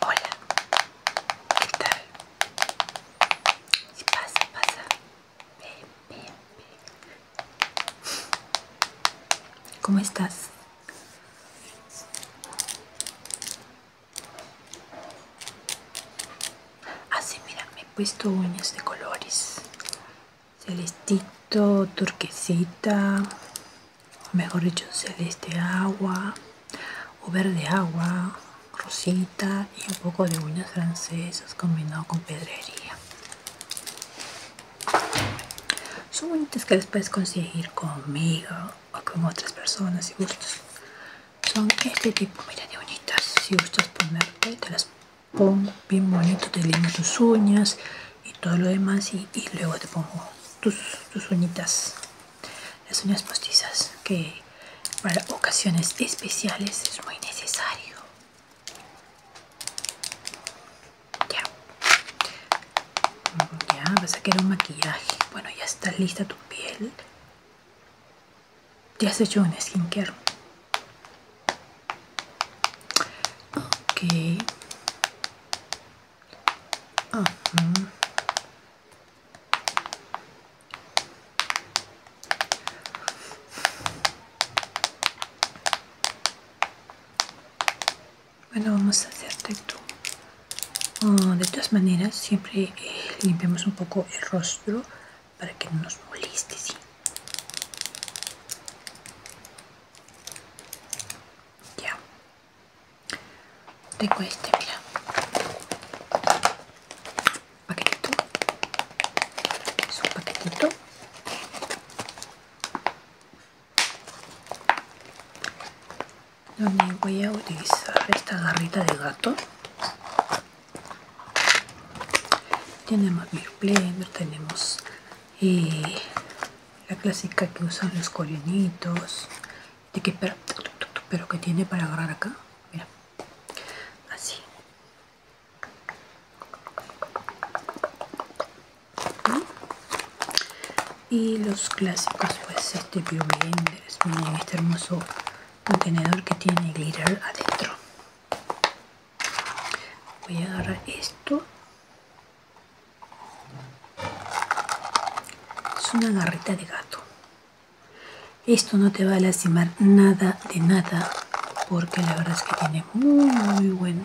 Hola, ¿qué tal? Si pasa, pasa. Ven, ven, ven. ¿Cómo estás? Así, ah, sí, mira, me he puesto uñas de colores celestito, turquesita, o mejor dicho, celeste agua, o verde agua, rosita y un poco de uñas francesas combinado con pedrería. Son bonitas que las puedes conseguir conmigo o con otras personas si gustos. Son este tipo, mira de bonitas. Si gustas ponerte, las bien bonito, te limas tus uñas y todo lo demás y, luego te pongo tus, tus, uñitas, las uñas postizas que para ocasiones especiales es muy necesario. Ya, ya vas a querer un maquillaje. Bueno, ya está lista tu piel. Ya has hecho un skincare. Okay. Bueno, vamos a hacerte tú. Oh, de todas maneras, siempre eh, limpiamos un poco el rostro para que no nos moleste, ya. Tengo este, mira. Paquetito. Es un paquetito. Donde voy a utilizar esta garrita de gato. Tenemos pleno tenemos y la clásica que usan los coreanitos de que pero, que tiene para agarrar acá mira así ¿Mm? y los clásicos pues este bioblenders este hermoso contenedor que tiene glitter adentro voy a agarrar esto es una garrita de gato esto no te va a lastimar nada de nada porque la verdad es que tiene muy muy bueno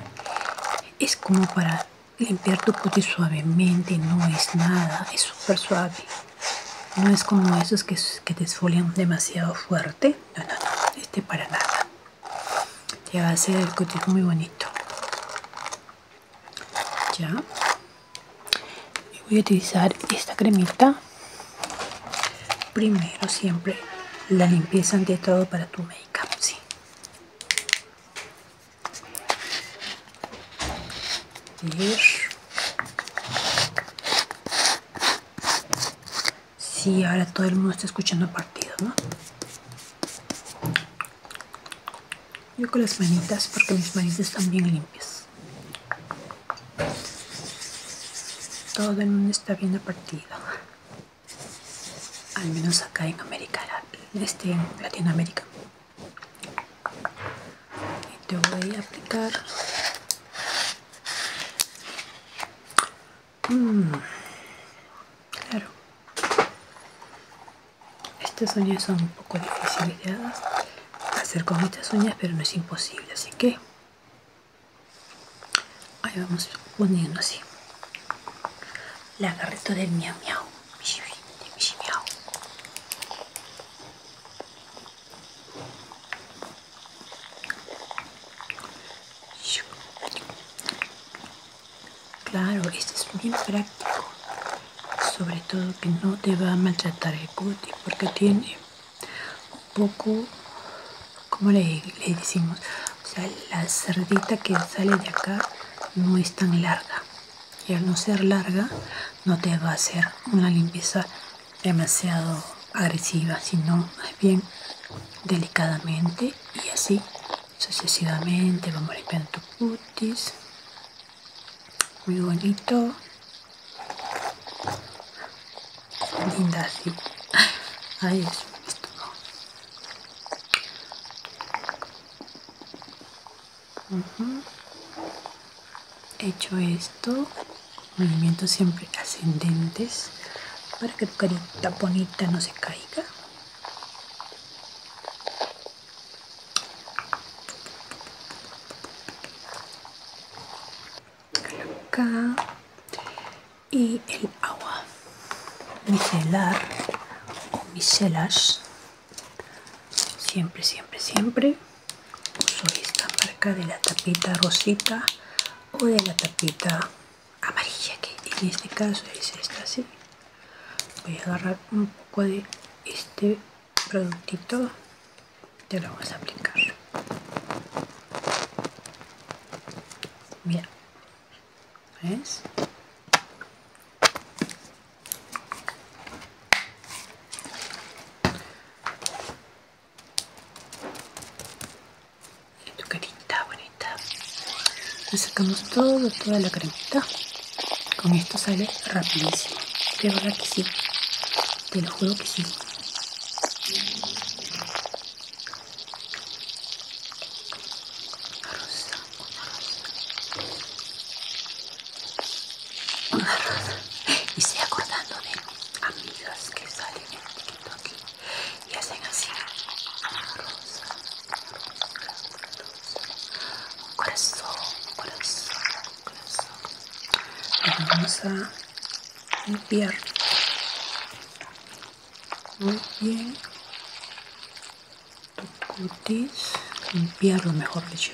es como para limpiar tu puti suavemente no es nada es súper suave no es como esos que, que te esfolian demasiado fuerte no no no este para nada ya va a ser el cutis muy bonito ya voy a utilizar esta cremita primero siempre la limpieza ante todo para tu make si ahora todo el mundo está escuchando el partido, ¿no? Yo con las manitas, porque mis manitas están bien limpias. Todo el mundo está viendo el partido. Al menos acá en América, este, en Latinoamérica. Y te voy a aplicar Mmm, claro. Estas uñas son un poco difíciles de hacer con estas uñas, pero no es imposible, así que ahí vamos poniendo así. La garrita del miau miau. Claro, esto es muy práctico. Sobre todo que no te va a maltratar el cuti porque tiene un poco, como le, le decimos, o sea, la cerdita que sale de acá no es tan larga. Y al no ser larga, no te va a hacer una limpieza demasiado agresiva, sino más bien delicadamente y así sucesivamente vamos limpiando tu cutis muy bonito linda así ay es hecho esto movimientos siempre ascendentes para que tu carita bonita no se caiga acá y el agua micelar o micelas siempre siempre siempre uso esta marca de la tapita rosita o de la tapita amarilla que en este caso es esta así voy a agarrar un poco de este productito y lo vamos a aplicar mira ves tu carita bonita sacamos todo toda la cremita con esto sale rapidísimo de verdad que sí te lo juro que sí una rosa y estoy acordando de amigas que salen poquito aquí y hacen así un corazón, corazón, corazón. vamos a limpiar muy bien tu cutis, limpiarlo mejor dicho.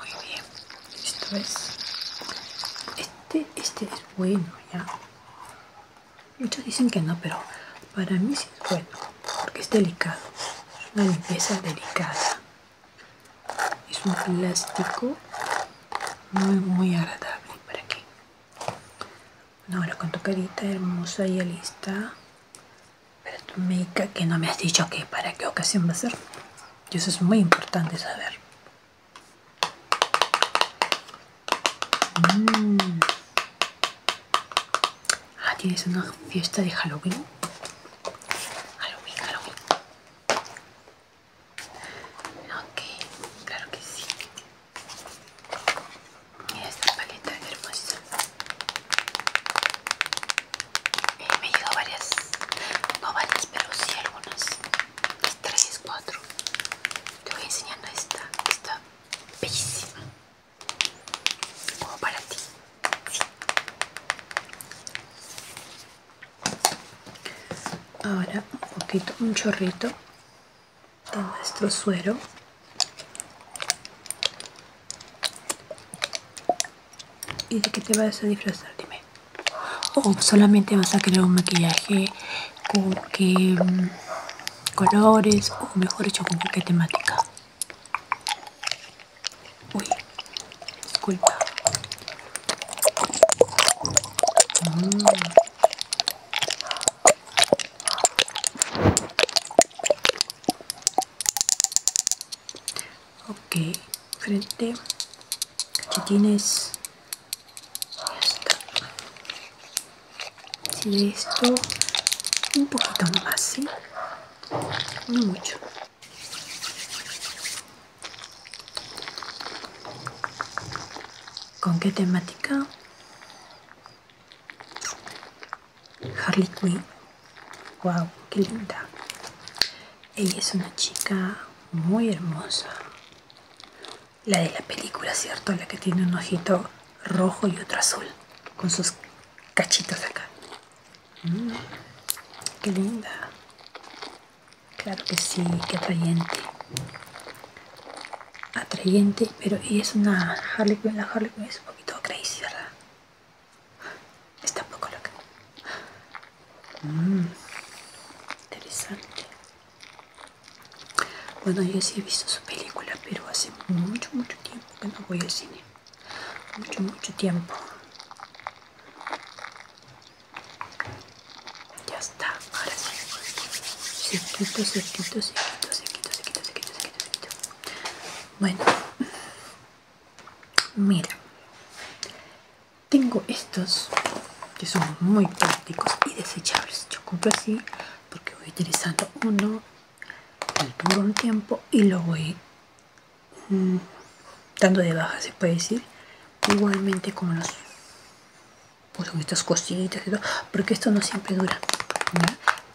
Muy bien, esto es. Este, este es bueno ya. Muchos dicen que no, pero para mí sí es bueno, porque es delicado. una limpieza delicada. Es un plástico muy, muy agradable para que. No, Ahora con tu carita hermosa y lista tú tu make que no me has dicho que para qué ocasión va a ser. Y eso es muy importante saber. Mm. Ah, tienes una fiesta de Halloween. Halloween, Halloween. Ok, claro que sí mira esta paleta hermosa. y eh, me llegó varias, no varias, pero sí algunas. Tres, cuatro. Te voy enseñando esta. esta bellísima. Como para ti. Ahora un poquito, un chorrito de nuestro suero ¿Y de qué te vas a disfrazar? Dime. ¿O oh, solamente vas a crear un maquillaje con qué mm, colores o mejor dicho con qué temática? Uy, disculpa. Mm ok frente cachetines tienes? esto un poquito más no mucho con qué temática Harley Quinn. Wow, qué linda. Ella es una chica muy hermosa. La de la película, ¿cierto? La que tiene un ojito rojo y otro azul. Con sus cachitos acá. Mm, qué linda. Claro que sí, qué atrayente atrayente, pero es una Harley Quinn, la Harley Quinn es un poquito crazy, ¿verdad? Está un poco loca. Mm, interesante. Bueno, yo sí he visto su película, pero hace mucho, mucho tiempo que no voy al cine. Mucho, mucho tiempo. Ya está, ahora sí. quito sequito, sequito, sequito, sequito, sequito, sequito, bueno, mira, tengo estos que son muy prácticos y desechables. Yo compro así porque voy utilizando uno por un tiempo y lo voy mm, dando de baja, se puede decir. Igualmente como los con estas cositas y todo, porque esto no siempre dura,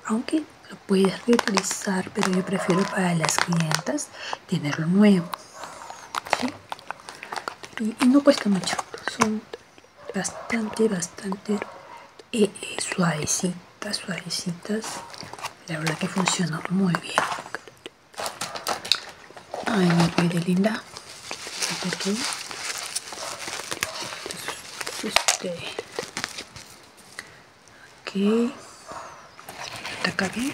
aunque lo puedes reutilizar, pero yo prefiero para las clientas tenerlo nuevo. Y, no cuesta mucho, son bastante, bastante eh, eh, suavecitas, suavecitas. La verdad que funciona muy bien. Ay, linda este aquí hasta acá bien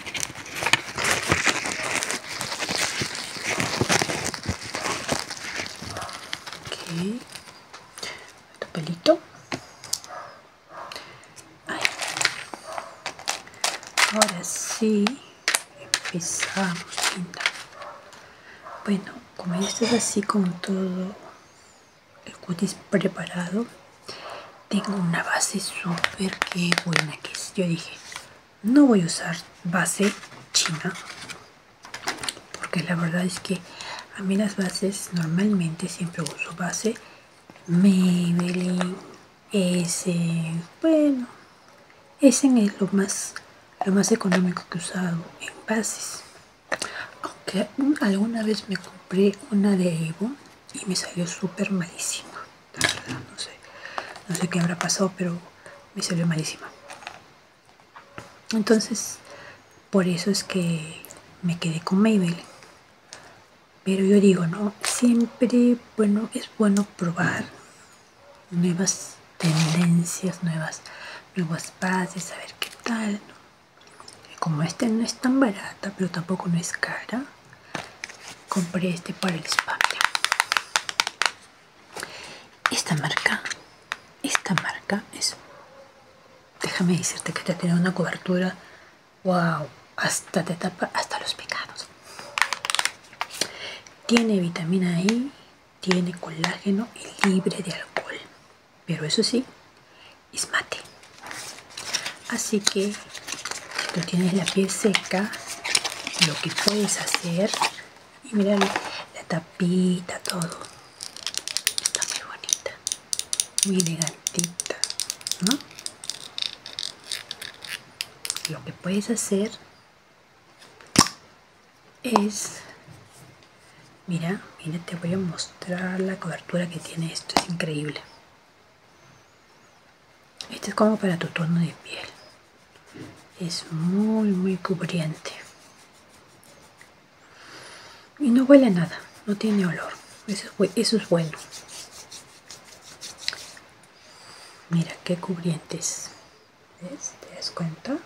aquí tu pelito ahora sí empezamos linda bueno como ya así con todo el cutis preparado tengo una base súper que buena que es yo dije no voy a usar base china porque la verdad es que a mí las bases normalmente siempre uso base Maybelline ese, bueno ese es lo más lo más económico que he usado en bases aunque alguna vez me compré una de Evo y me salió súper malísima no sé no sé qué habrá pasado pero me salió malísima entonces por eso es que me quedé con Maybelline pero yo digo no siempre bueno es bueno probar nuevas tendencias, nuevas, nuevas bases, a ver qué tal. Como este no es tan barata, pero tampoco no es cara, compré este para el spa. Esta marca, esta marca es, déjame decirte que te tiene una cobertura, wow, hasta te tapa hasta los pecados. Tiene vitamina y e, tiene colágeno y libre de alcohol. Pero eso sí, es mate. Así que si tú tienes la piel seca, lo que puedes hacer, y mira la tapita, todo. Está muy bonita, muy elegantita, ¿no? Lo que puedes hacer es mira mira te voy a mostrar la cobertura que tiene esto es increíble este es como para tu tono de piel es muy muy cubriente y no huele nada no tiene olor eso es, eso bueno mira qué cubrientes es te das cuenta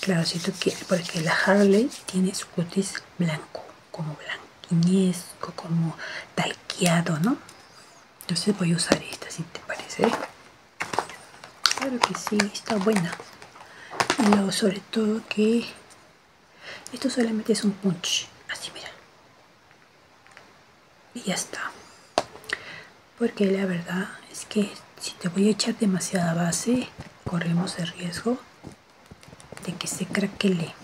Claro, tú que, porque la Harley tiene su cutis blanco, como blanquiñesco, como talqueado, ¿no? Entonces voy a usar esta, si te parece. Claro que sí, está buena. Y luego sobre todo que esto solamente es un punch, así mira. Y ya está. Porque la verdad es que si te voy a echar demasiada base, corremos el riesgo de que se craquele.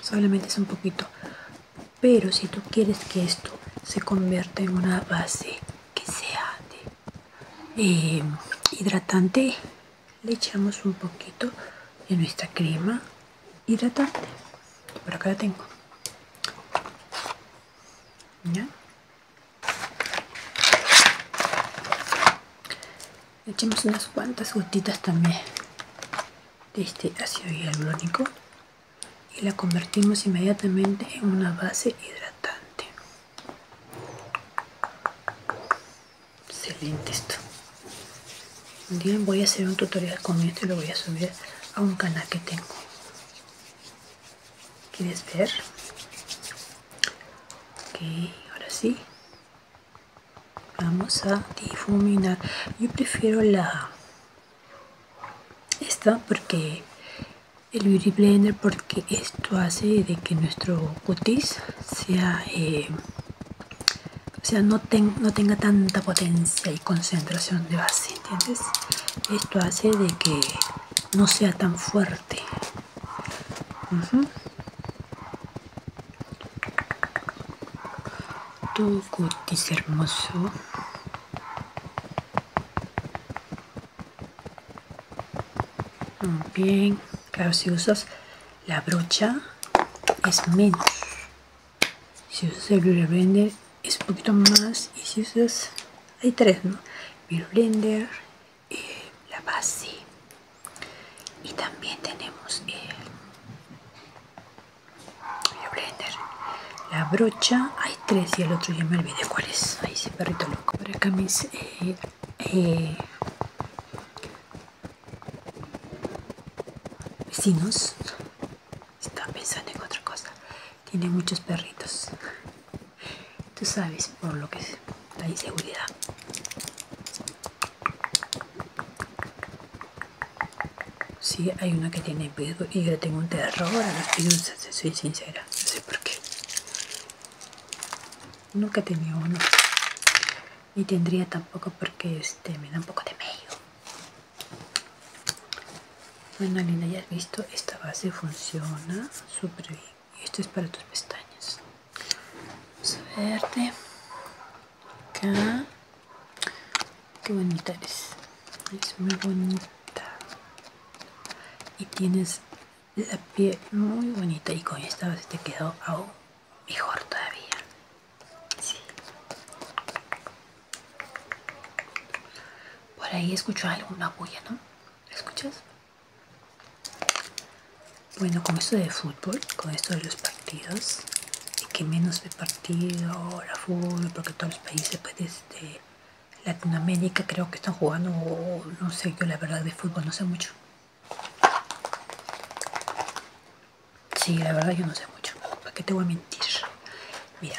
Solamente es un poquito. Pero si tú quieres que esto se convierta en una base que sea eh, hidratante, le echamos un poquito de nuestra crema hidratante. Por acá la tengo. ¿Ya? echemos unas cuantas gotitas también de este ácido hialurónico y la convertimos inmediatamente en una base hidratante excelente esto un voy a hacer un tutorial con esto y lo voy a subir a un canal que tengo ¿Quieres ver? Ok, ahora sí. Vamos a difuminar. Yo prefiero la esta porque el beauty blender porque esto hace de que nuestro cutis sea eh, o sea no, no tenga tanta potencia y concentración de base entiendes? Esto hace de que no sea tan fuerte. Tu cutis hermoso. bien. Claro, si usas la brocha es menos. Si usas el blender es un poquito más y si usas hay tres no el blender eh, la base y también tenemos el, blender la brocha hay tres y el otro ya me olvidé cuál es ahí sí perrito loco por acá mis eh, eh, vecinos están pensando en otra cosa tiene muchos perritos. Tú sabes por lo que es la inseguridad. Sí, hay una que tiene piso y yo tengo un terror a las si soy sincera, no sé por qué. Nunca he tenido uno. y tendría tampoco porque este me da un poco de medio. Bueno linda, ya has visto, esta base funciona súper bien. Y esto es para tus pestañas. Vamos a verte. Acá. Qué bonita eres. Es muy bonita. Y tienes la piel muy bonita. Y con esta base te quedó aún mejor todavía. Sí. Por ahí escucho alguna bulla, ¿no? ¿Escuchas? Bueno, con esto de fútbol, con esto de los partidos, y que menos de partido, ahora fútbol, porque todos los países pues, de este, Latinoamérica creo que están jugando, no sé, yo la verdad de fútbol no sé mucho. Sí, la verdad yo no sé mucho, ¿para qué te voy a mentir? bien Mira,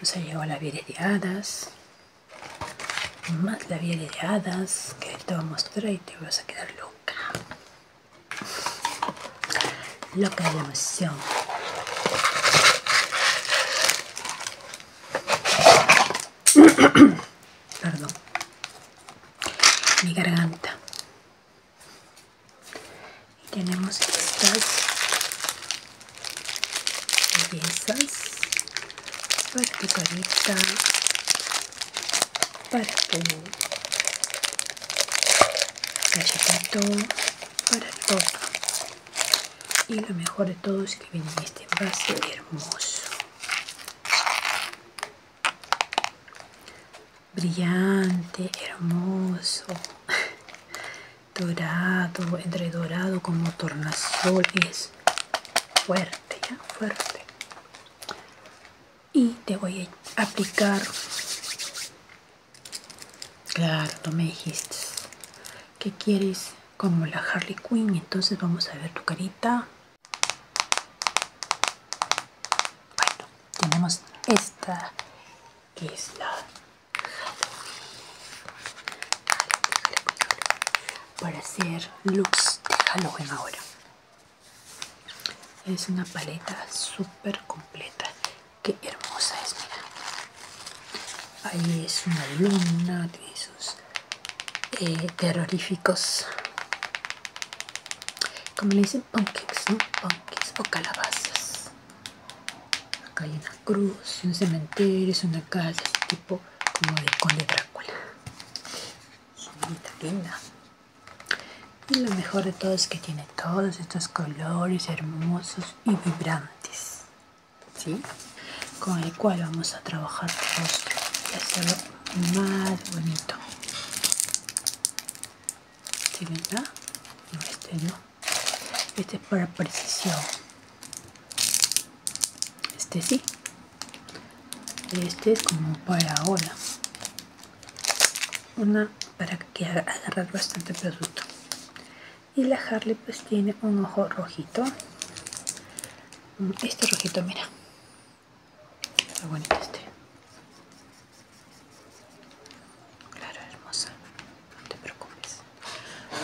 nos ha llegado las de hadas, más la vía de hadas que te voy a mostrar y te vas a quedar loca. Loca de emoción. Perdón. Mi garganta y tenemos estas piezas para tu carita para tu galletito para todo. y lo mejor de todo es que viene este envase hermoso brillante, hermoso, dorado, entre dorado como tornasol, es fuerte, ya, fuerte. Y te voy a aplicar, claro, me dijiste que quieres como la Harley Quinn, entonces vamos a ver tu carita. Bueno, tenemos esta que es la para hacer looks de Halloween ahora es una paleta súper completa que hermosa es mira ahí es una luna de esos eh, terroríficos como le dicen pancakes no o calabazas Acá hay una cruz, un cementerio, es una casa, tipo como de conde Drácula. Linda, linda. Y lo mejor de todo es que tiene todos estos colores hermosos y vibrantes. ¿Sí? Con el cual vamos a trabajar y hacerlo más bonito. ¿Sí, verdad? No, este no. Este es para precisión. Este sí. Este es como para ahora. Una para que agarrar bastante producto. Y la Harley pues tiene un ojo rojito. Mm, este rojito, mira. Está bonito este. Claro, hermosa, no te preocupes.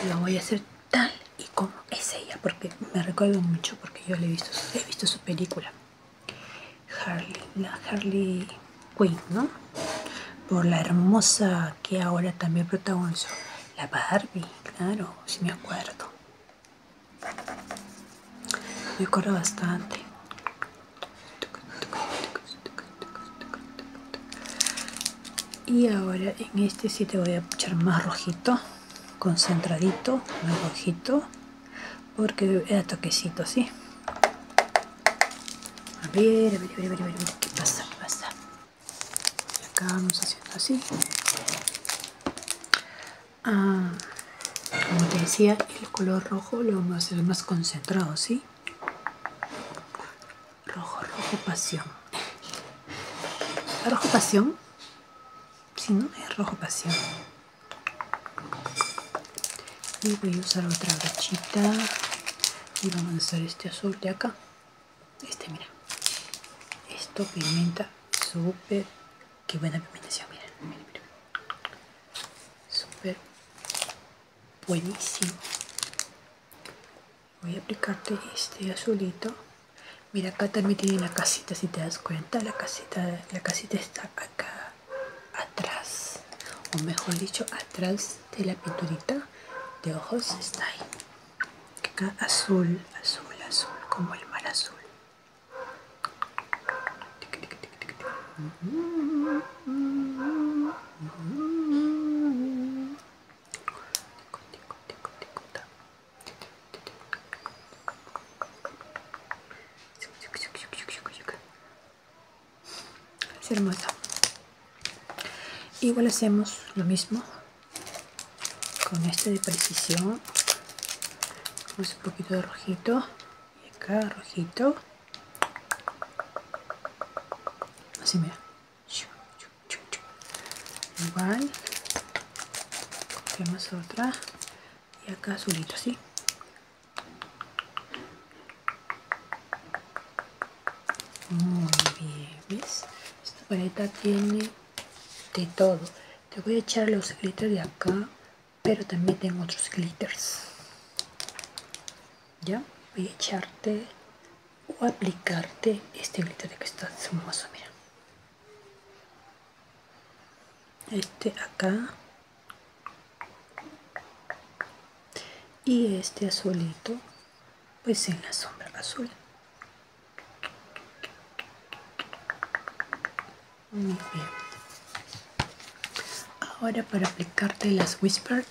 Lo voy a hacer tal y como es ella, porque me recuerdo mucho, porque yo le he visto, su película. Harley, la Harley Quinn, ¿no? Por la hermosa que ahora también protagonizó. La Barbie, claro, si me acuerdo. Me acuerdo bastante y ahora en este sí te voy a echar más rojito concentradito más rojito porque era toquecito así, a ver a ver a ver a ver, a ver qué pasa qué pasa acá vamos haciendo así ah, como te decía el color rojo lo vamos a hacer más concentrado, ¿sí? Rojo, rojo, pasión. ¿Rojo pasión? Si no, es rojo pasión. Y voy a usar otra brochita. Y vamos a hacer este azul de acá. Este, mira. Esto pigmenta súper. Qué buena pigmentación, miren. miren, miren super buenísimo voy a aplicarte este azulito mira acá también tiene la casita si te das cuenta la casita la casita está acá atrás o mejor dicho atrás de la pinturita de ojos está ahí azul azul azul como el mar azul Igual hacemos lo mismo con este de precisión. Vamos un poquito de rojito y acá rojito así mira igual cogemos otra y acá azulito así muy bien ves esta paleta tiene de todo te voy a echar los glitter de acá pero también tengo otros glitters ya voy a echarte o aplicarte este glitter que está hermoso mira este acá y este azulito pues en la sombra azul muy bien. Ahora para aplicarte las Whisper,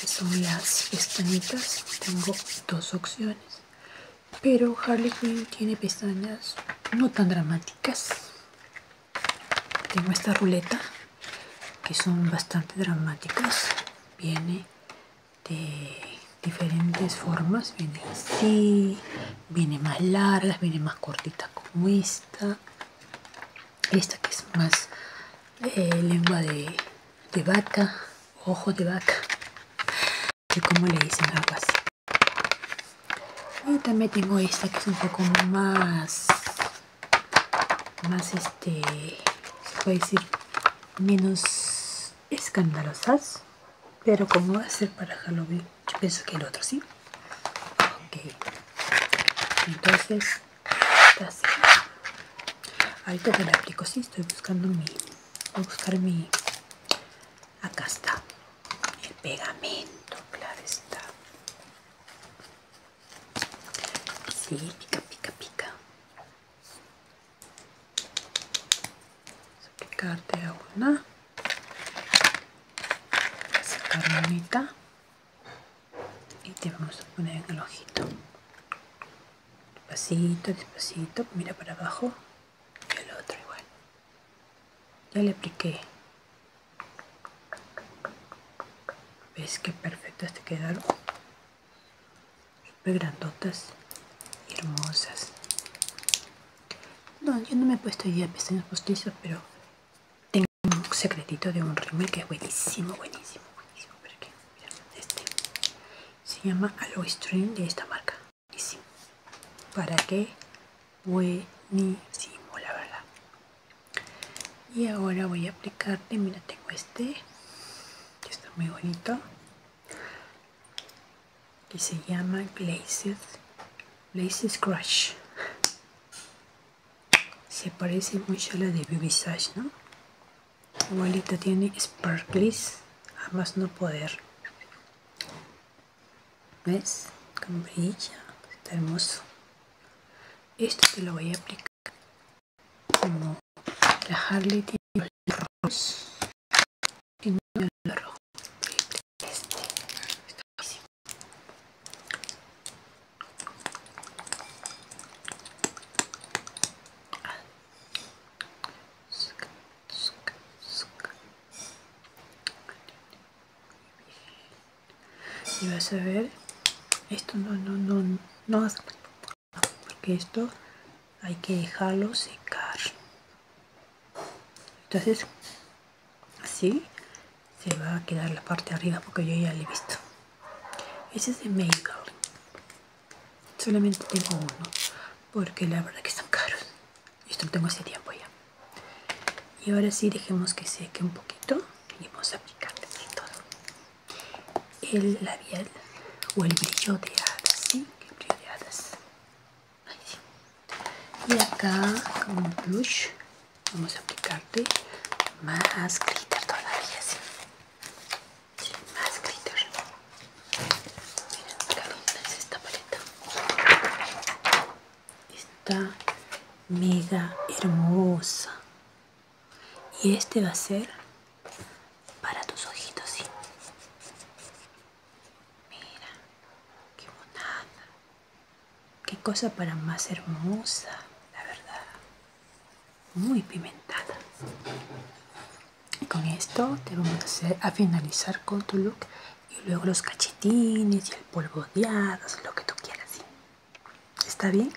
que son las pestañitas, tengo dos opciones. Pero Harley Quinn tiene pestañas no tan dramáticas. Tengo esta ruleta, que son bastante dramáticas. Viene de diferentes formas. Viene así, viene más largas, viene más cortitas como esta esta esta que es más eh, lengua de, vaca ojo de vaca que como le dicen a también tengo esta que es un poco más más este se puede decir menos escandalosas pero como va a ser para Halloween yo pienso que el otro, ¿sí? Ok. Entonces, está así. Ahorita te lo aplico, sí. Estoy buscando mi. Voy a buscar mi. Acá está. El pegamento, claro está. Sí, pica, pica, pica. Vamos a aplicarte a una sacar manita y te vamos a poner en el ojito despacito, despacito mira para abajo y el otro igual ya le apliqué ves que perfectas te quedaron súper grandotas y hermosas no, yo no me he puesto ya de pestañas postizas, pero tengo un secretito de un rímel que es buenísimo, buenísimo, buenísimo. mira, este se llama Aloe String de esta marca. Buenísimo. ¿Para qué? Buenísimo, la verdad. Y ahora voy a aplicarte, mira, tengo este, que está muy bonito que se llama Glazed, Glazed Crush. Se parece mucho a la de Beauty ¿no? Igualito tiene sparkles, a más no poder. ¿Ves? como brilla, está hermoso. Esto te lo voy a aplicar como la Harley y no lo rojo. Este Y vas a ver, esto no, no, no, no vas a porque esto hay que dejarlo secar. Entonces así se va a quedar la parte de arriba porque yo ya le he visto ese es de makeup. solamente tengo uno porque la verdad que son caros esto lo tengo hace tiempo ya y ahora sí dejemos que seque un poquito y vamos a aplicarle todo el labial o el brillo de ¿sí? el brillo de hadas y acá con un blush vamos a aplicarte más glitter todavía sí, más glitter miren qué dónde es esta paleta está mega hermosa y este va a ser para tus ojitos sí Mira, qué monada. Qué cosa para más hermosa, la verdad. Muy pimentada. Y Con esto te vamos a, hacer, a finalizar con tu look y luego los cachetines y el polvo de lo que tú quieras. ¿Está bien?